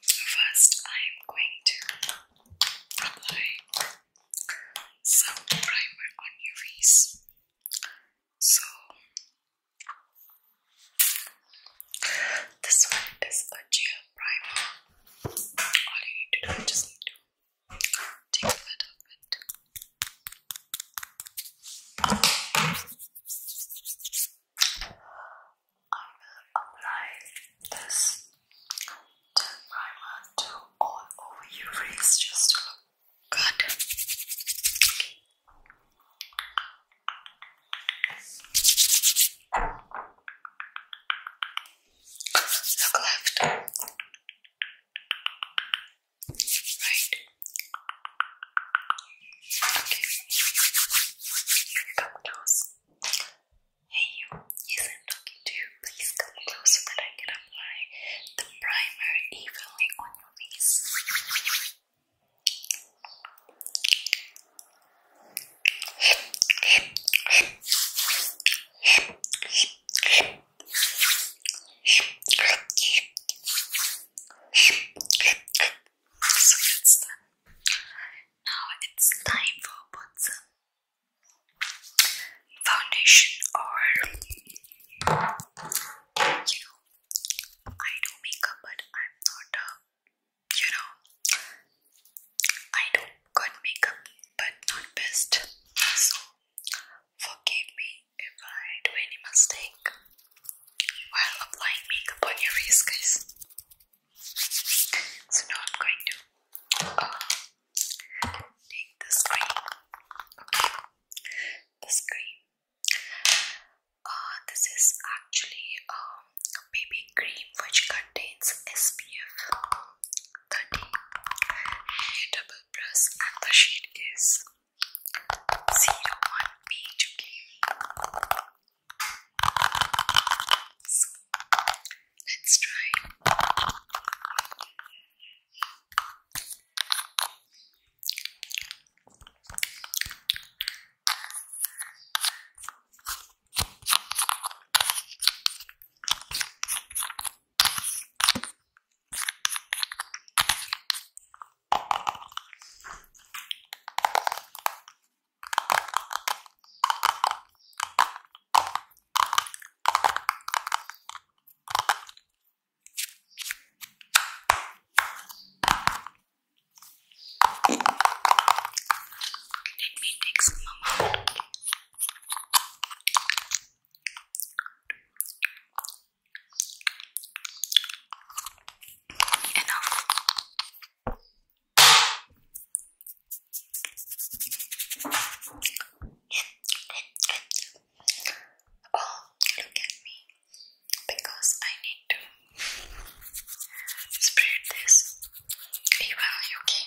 First, I'm going to apply some primer on your face. So, this one is a gel primer. All you need to do is just to take a little bit. I will apply this primer to all over your face just to look good. Look left, right, Okay. Hey you, yes i talking to you. Please come close so that I can apply the primer evenly on your face. So that's done. Now it's time for put foundation or you know I do makeup but I'm not a you know I do good makeup but not best so forgive me if I do any mistake while applying makeup on your face, guys. So now I'm going to uh, take this cream. Okay, cream. Uh, this is actually um, a baby cream which contains SPF 30. You double and the shade is so you don't want me to So let's try. Let me take some amount. Enough. oh, look at me because I need to spread this. Are you okay?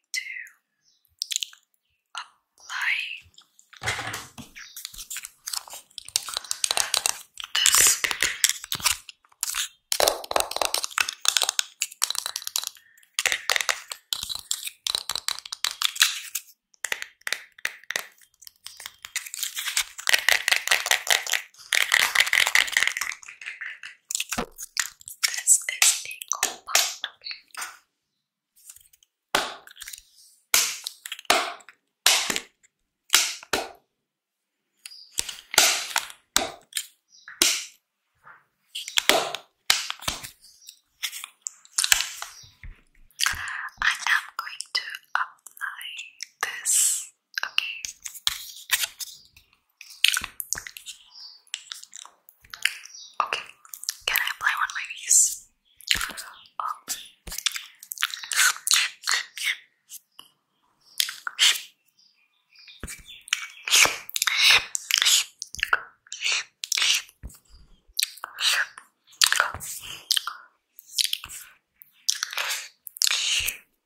going to apply this. This is a compound, okay? I am going to apply this Okay. Okay. Can I apply on my knees?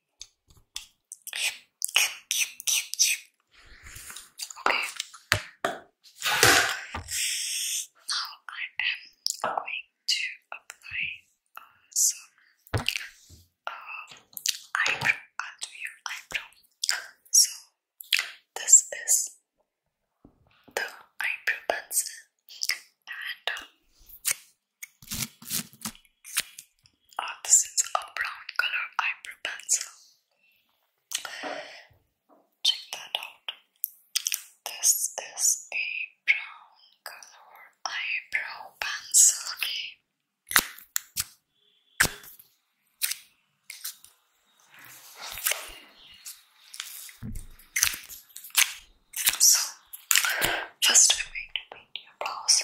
Okay. Now I am going to apply uh, some uh, eyebrow onto your eyebrow. So this is the eyebrow pencil and um, Ah, this is a brown color eyebrow pencil. Check that out. This is a brown color eyebrow pencil. Okay. So, first I'm going to paint your brows.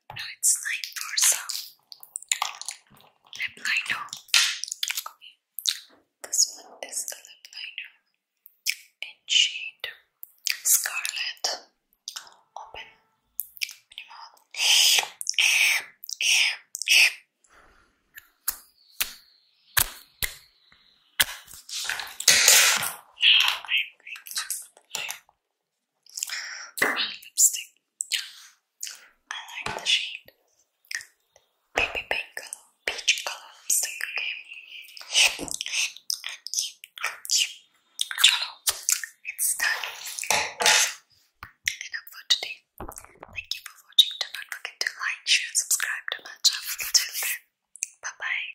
it's 9 for some. Lip liner. This one is the lip liner in shade Scarlet. Open lipstick. I like the shade baby pink color, peach color lipstick. Okay. Chalo, for today. Thank you for watching. Do not forget to like, share, subscribe to my channel. bye bye.